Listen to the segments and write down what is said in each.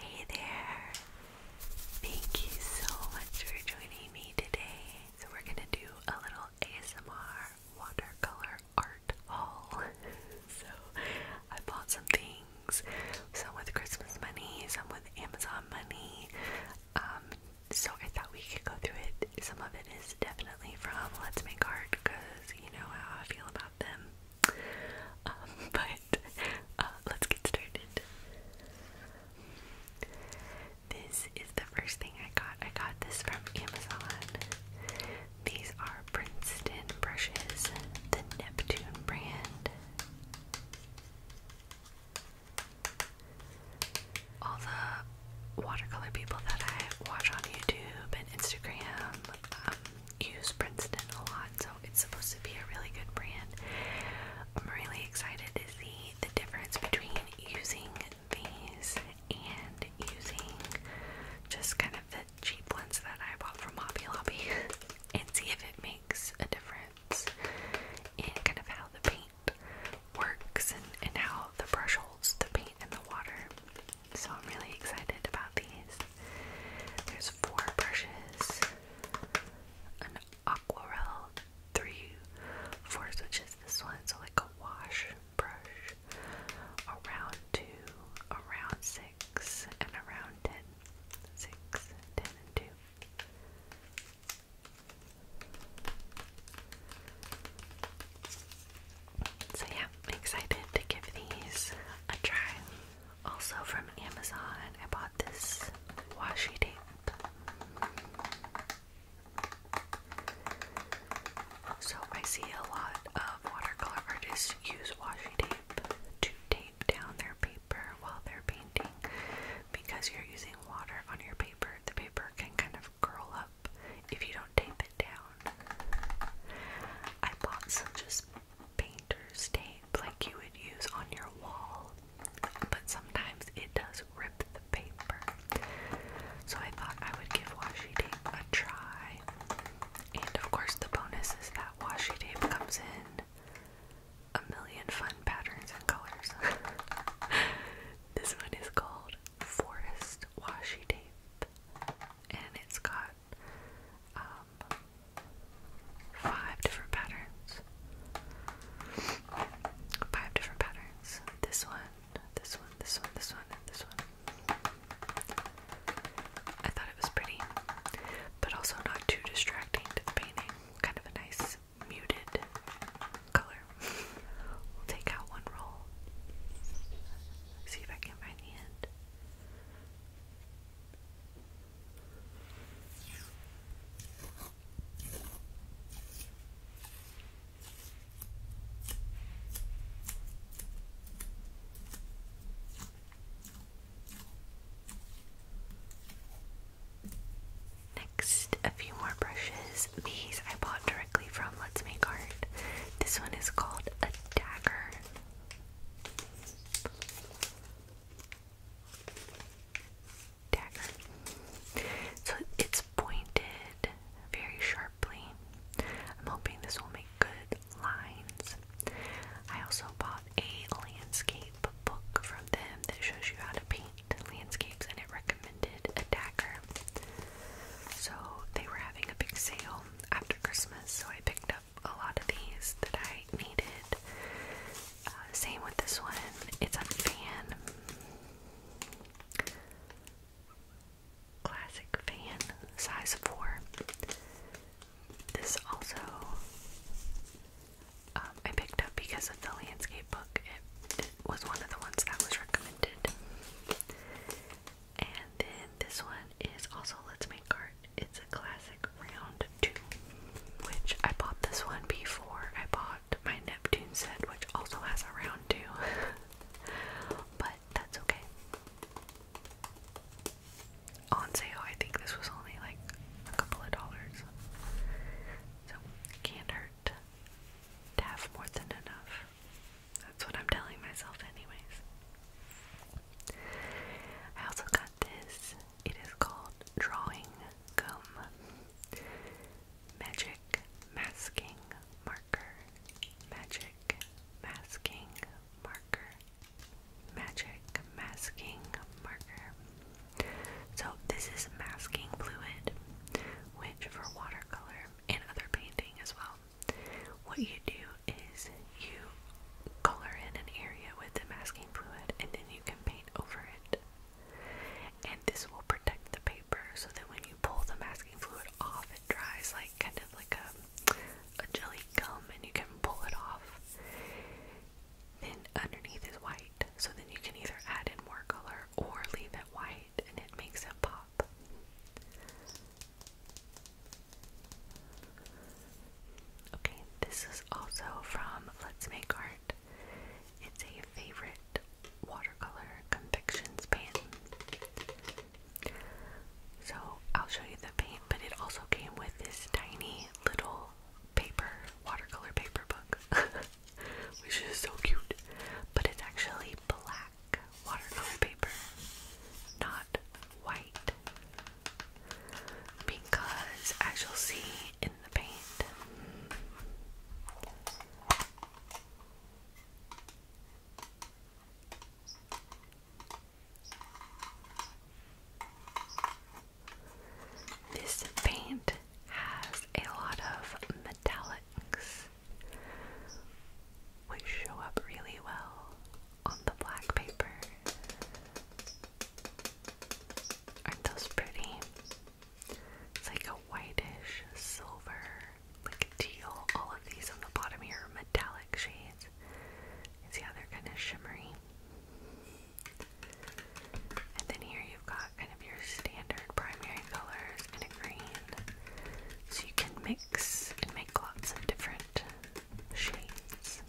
Hey there! Thank you so much for joining me today. So, we're gonna do a little ASMR watercolor art haul. so, I bought some things, some with Christmas money, some with Amazon money. Um, so, I thought we could go through it. Some of it is definitely from Let's Make Art because you know how I feel about them. Um, but uh, let's get started. This is the first thing I got. I got this from Amazon. These are Princeton brushes, the Neptune brand. All the watercolor people that I watch on YouTube and Instagram um, use Princeton a lot, so it's supposed to be a really good brand. I'm really excited to see the difference between using these and using just kind of the cheap ones that I bought from Hobby Lobby and see if it makes a difference in kind of how the paint works and, and how the brush holds the paint in the water. So I'm really excited about these. There's four brushes, an aquarelle, three fours, which is this one, so like a wash brush, a two, a six, and a round So yeah, I'm excited to give these a try. Also from Amazon, I bought this washi tape. So I see a lot of watercolor artists use washi tape to tape down their paper while they're painting. Because you're using water on your paper, the paper can kind of curl up if you don't tape it down. I bought some just painter's tape like you would use on your wall, but sometimes it does rip the paper. So I thought I would give washi tape a try. And of course, the bonus is that washi tape comes in a million fun patterns and colors. this one is called Forest Washi Tape, and it's got um, five different patterns. Five different patterns. This one, this one, this one, this one, and this one. I thought it was pretty, but also not too distracting to the painting. Kind of a nice muted color. we'll take out one roll. See if I can find the end. Next, a few more brushes. These I bought directly from Let's Make Art. This one is called a dagger dagger. So it's pointed very sharply. I'm hoping this will make good lines. I also bought a landscape book from them that shows you how to paint landscapes and it recommended a dagger. So they were having a big sale after Christmas, so I picked up a lot of these that I needed. Uh, same with this one, it's a fan. Classic fan, size 4. This also um, I picked up because of the landscape book. it was one of the ones that was recommended. And then this one is also Let's Make Art. It's a classic round two, which I bought this one before I bought my Neptune set, which also has a round two, but that's okay. On sale, I think this was only like a couple of dollars, so can't hurt to have more than enough. That's what I'm telling myself, anyways. I also got this. It is called Drawing Gum Magic Masking Marker. Magic Masking Marker. Magic Masking Marker. So, this is masking fluid, which for watercolor and other painting as well what you do is you color in an area with the masking fluid and then you can paint over it. And this will protect the paper so that when you pull the masking fluid off, it dries like kind of like a, a jelly gum and you can pull it off. Then underneath is white, so then you can either add in more color or leave it white and it makes it pop. Okay, this is also from Let's Make Art. It's a favorite watercolor confections paint. So I'll show you the paint, but it also came with this tiny little paper, watercolor paper book, which is so cute. But it's actually black watercolor paper, not white, because as you'll see in the paint, this paint has a lot of metallics which show up really well on the black paper. Aren't those pretty? It's like a whitish silver, like teal. All of these on the bottom here are metallic shades. You see how they're kind of shimmery? And then here you've got kind of your standard primary colors and a green. So you can mix and make lots of different shades.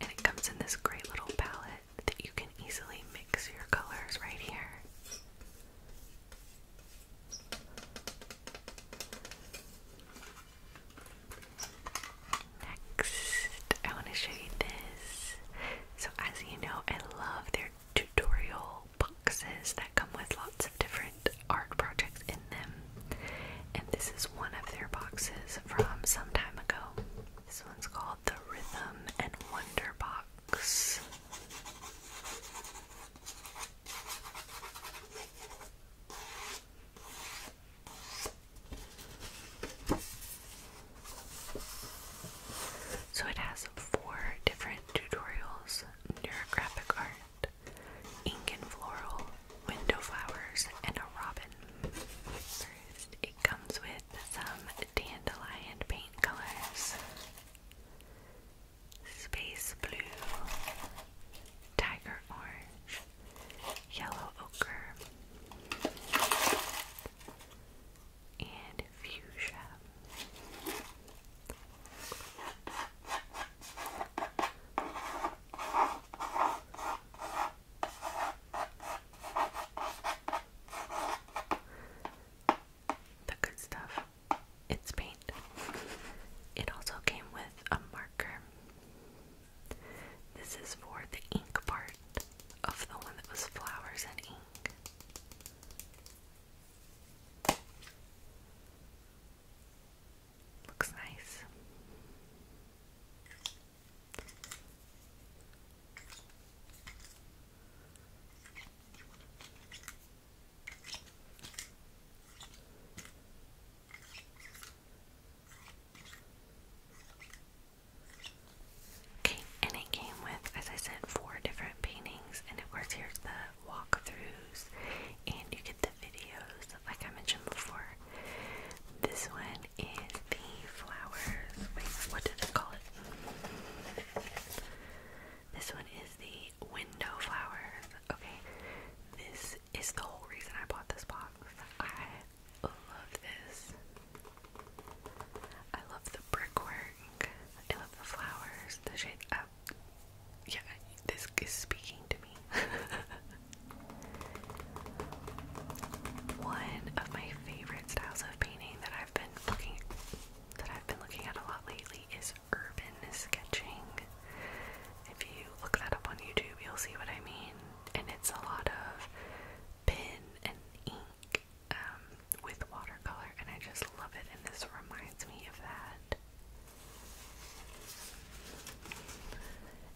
And it comes in this great little palette that you can easily mix your colors right here. Next, I want to show you this. So, as you know, I love their tutorial boxes that come with lots of different art projects in them. And this is one of their boxes from some time ago. This one's called the Rhythm and Wonder Box. So it has four different tutorials, graphic art, ink and floral, window flowers, and a robin. First, it comes with some dandelion paint colors. Space blue, tiger orange, yellow ochre, and fuchsia. The good stuff. It's paint. It also came with a marker. This is for the ink part of the one that was flowers and ink. Looks nice. Okay, and it came with, as I said, four different paintings, and of course, here's the walkthroughs and you get the videos like I mentioned before. This one is the flowers. what did I call it? This one is the window flowers. Okay. This is the whole reason I bought this box. I love this. I love the brickwork. I love the flowers, the shades yeah, this is speaking to me. One of my favorite styles of painting that I've been looking that I've been looking at a lot lately is urban sketching. If you look that up on YouTube, you'll see what I mean. And it's a lot of pen and ink um, with watercolor, and I just love it. And this reminds me of that.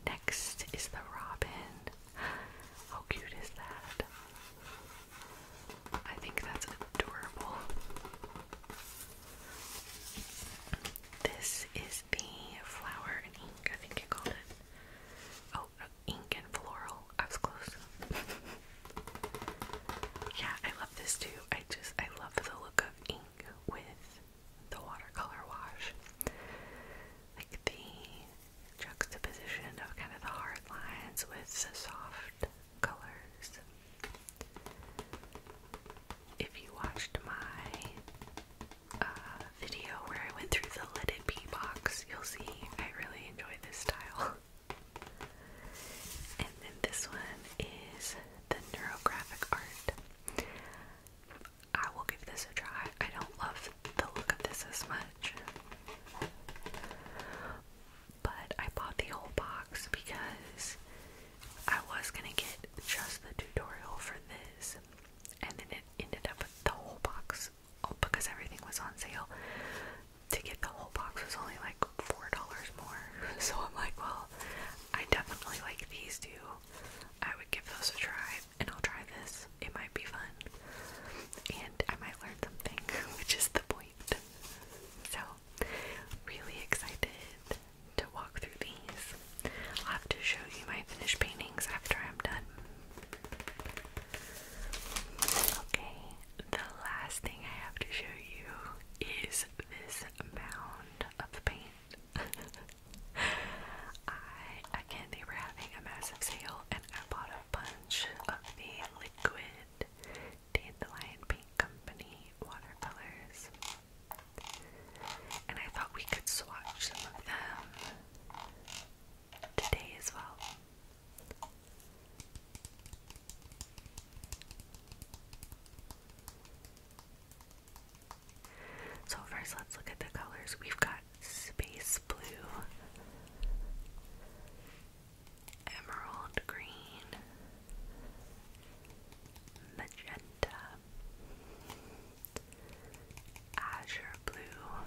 Next is the robin. How cute is that? I think that's adorable. This is the flower and ink, I think you called it. Oh, uh, ink and floral. I was close. yeah, I love this too. I just, I love the look ink with the watercolor wash. Like the juxtaposition of kind of the hard lines with the soft colors. If you watched my uh, video where I went through the Let It Be box, you'll see I really enjoy this style. And then this one is the Neurographic Art. I will give this a try. I don't love the look of this as much. But I bought the whole box because I was gonna get just the tutorial for this, and then it ended up with the whole box oh, because everything was on sale. To get the whole box was only like four dollars more. So I'm like, well, I definitely like these two. I would give those a try, and I'll try this. It might be fun, and I might learn something, which is the point. So, really excited to walk through these. I'll have to show you my finished paintings after I'm done. Okay, the last thing I have to show you is this mound of paint. again they were having a massive sale and I bought a bunch of the liquid dandelion paint company watercolors. And I thought we could swatch some of them today as well. So, first, let's look at the colors. We've got space blue, emerald green, magenta, azure blue,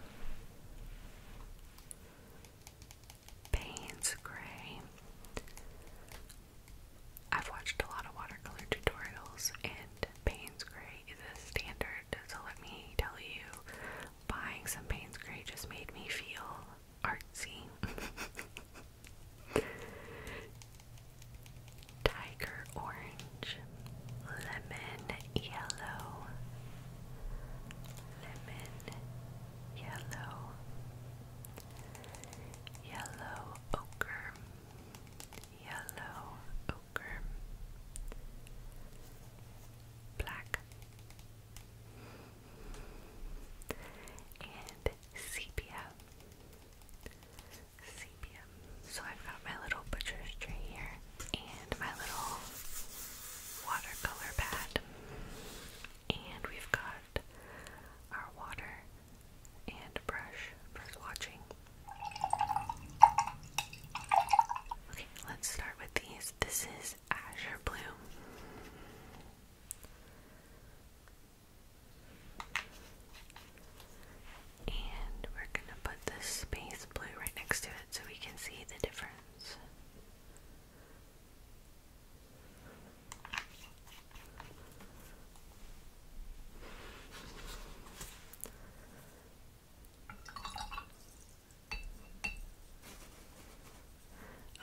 Payne's Gray. I've watched a lot of watercolor tutorials, and Payne's Gray is a standard. So let me tell you, buying some Payne's Gray just made me feel artsy. Tiger orange, lemon yellow, lemon yellow, yellow ochre, yellow ochre, black, and sepia. Sepia. So I've got my little butcher's tray here and my little watercolor pad. And we've got our water and brush for swatching. Okay, let's start with these. This is Azure Blue. And we're going to put the space blue right next to it so we can see the difference.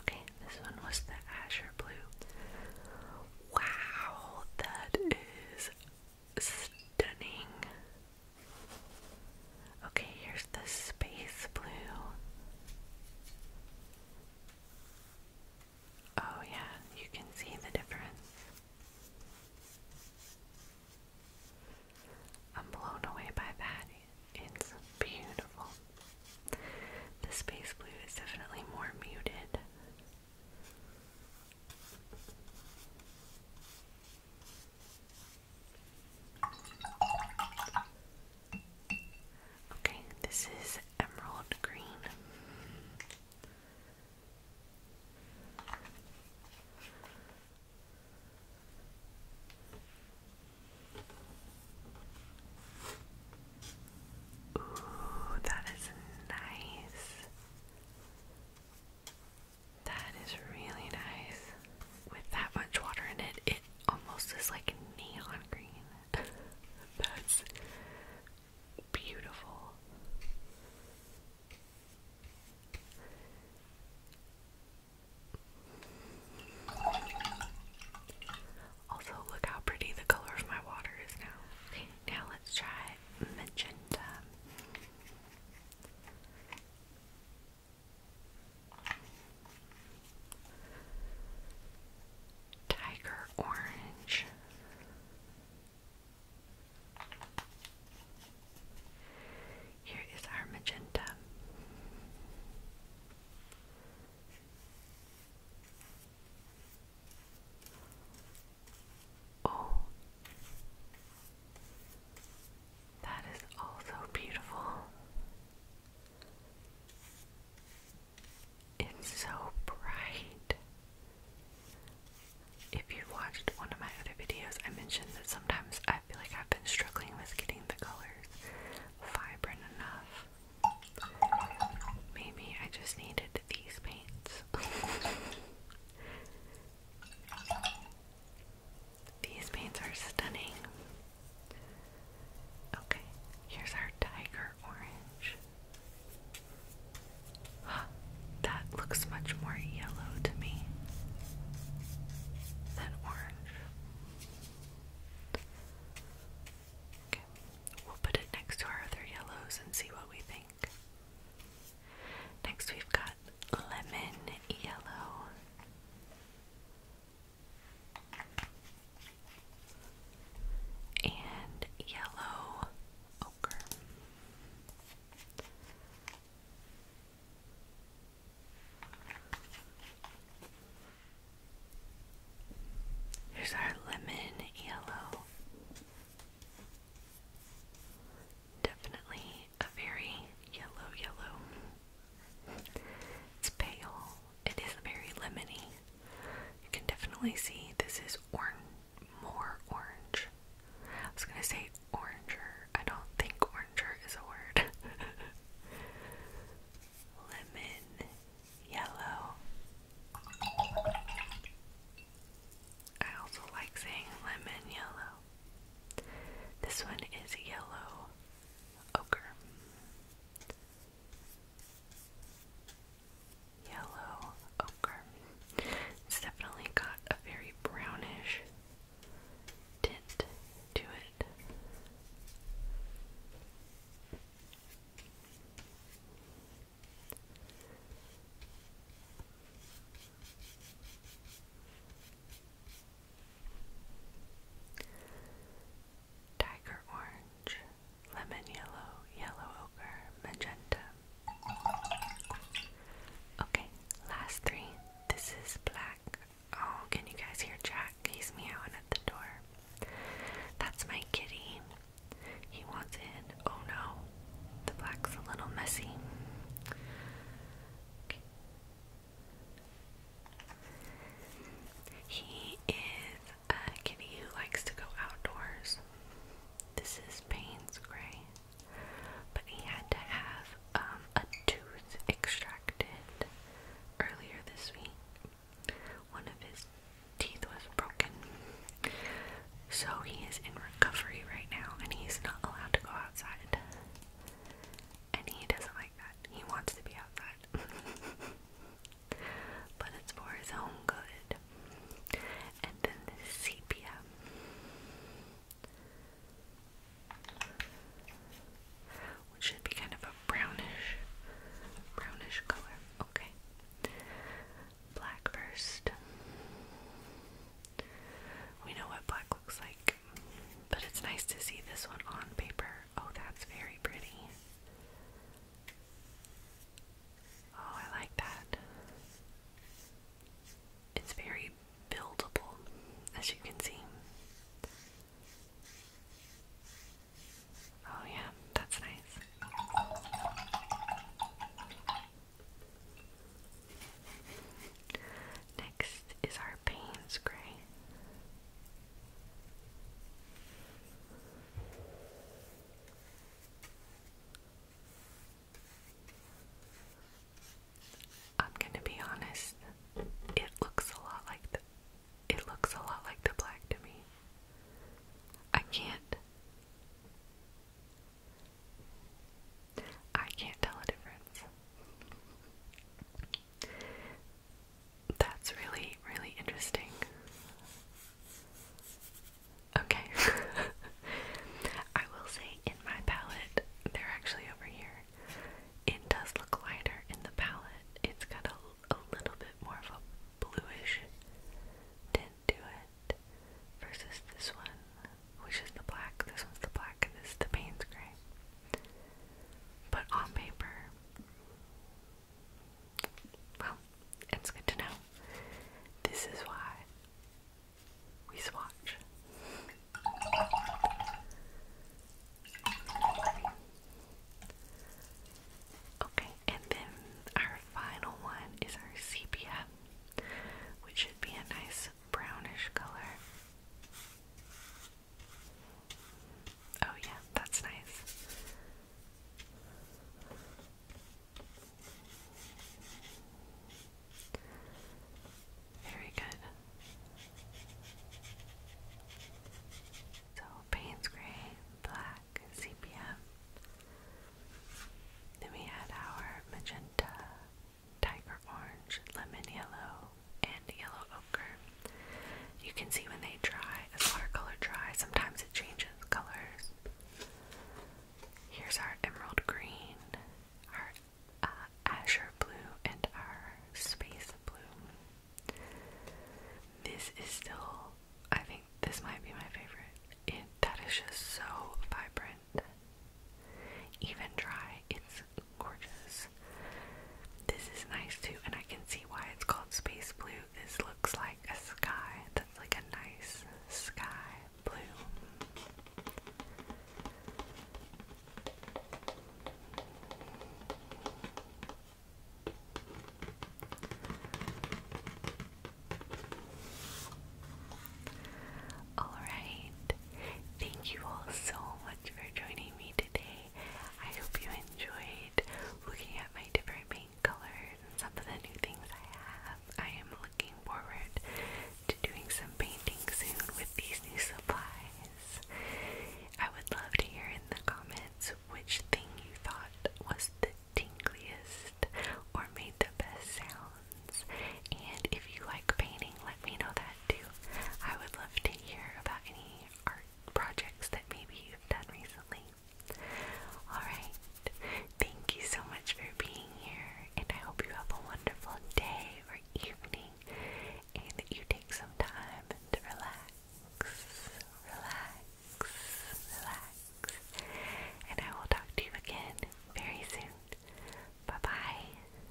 Okay, this one was the azure blue. Wow, that is stunning. Okay, here's the space blue. Oh, yeah, you can see the difference. I'm blown away by that. It's beautiful. The space blue is definitely more muted. Okay, this is emerald green. Ooh, that is nice. That is really nice. With that much water in it, it almost is like neon green. That's beautiful. Also, look how pretty the color of my water is now. now let's try magenta. Tiger Orange. Here is our magenta. Oh, that is also beautiful. It's so bright. If you watched one of my other videos, I mentioned that sometimes I feel like I've been struggling with getting the colors vibrant enough. Maybe I just needed these paints. These paints are stunning. Okay, here's our tiger orange. That looks much more yellow to me than orange. we'll put it next to our other yellows and see what we think. Next, we've got lemon yellow and yellow ochre. Here's our lemon yellow. Definitely a very yellow, yellow. It's pale. It is very lemony. You can definitely see this is more orange. I was gonna say oranger. I don't think oranger is a word. Lemon yellow. I also like saying lemon yellow. This one is yellow ochre. Yellow ochre. It's definitely got a very brownish tint to it. Tiger orange, lemon yellow, yellow ochre, magenta. Okay, last three. This is black. Oh, can you guys hear Jack? He's meowing at the door. That's my kitty. He wants in. Oh no, the black's a little messy. He is a kitty who likes to go outdoors. This is Payne's Gray, but he had to have um, a tooth extracted earlier this week. One of his teeth was broken, so he is in recovery right now and he's not allowed to go outside. And he doesn't like that. He wants to be outside but it's for his own good. And then sepia. Which should be kind of a brownish, brownish color. Okay. Black first. We know what black looks like, but it's nice to see this one on paper. Oh, that's very pretty. Oh, I like that. It's very buildable, as you can see. Oh, yeah, that's nice. Next is our Payne's Gray. I'm gonna be honest, it looks a lot like the it looks a lot like the black to me. I can't I can't tell a difference. That's really, really interesting. Okay. I will say, in my palette, they're actually over here. It does look lighter in the palette. It's got a, little bit more of a bluish tint to it versus this one, which is the black. This one's the black, this is the Payne's gray. But on paper, well, it's good to know. This is why we swatch. Okay, and then our final one is our sepia, which should be a nice brownish color. Oh, yeah, that's nice. Very good. So, Payne's Gray, Black, Sepia. Then we had our magenta, tiger orange, lemon yellow, and yellow ochre. You can see when they dry, as watercolor dry, sometimes it changes colors. Here's our emerald green, our uh, azure blue, and our space blue. This is still, I think this might be my favorite. It, that is just so vibrant. Even dry, it's gorgeous. This is nice too, and I can see why it's called space blue. This looks like a sky. That's like a nice sky blue. Alright, thank you all so for joining me today. I hope you enjoyed looking at my different paint colors and some of the new things I have. I am looking forward to doing some painting soon with these new supplies. I would love to hear in the comments which thing you thought was the tingliest or made the best sounds. And if you like painting, let me know that that I would love to hear about any art projects that maybe you've done recently. Alright, thank you so much for being here, and I hope you have a wonderful day or evening, and that you take some time to relax, relax, relax. And I will talk to you again very soon. Bye bye.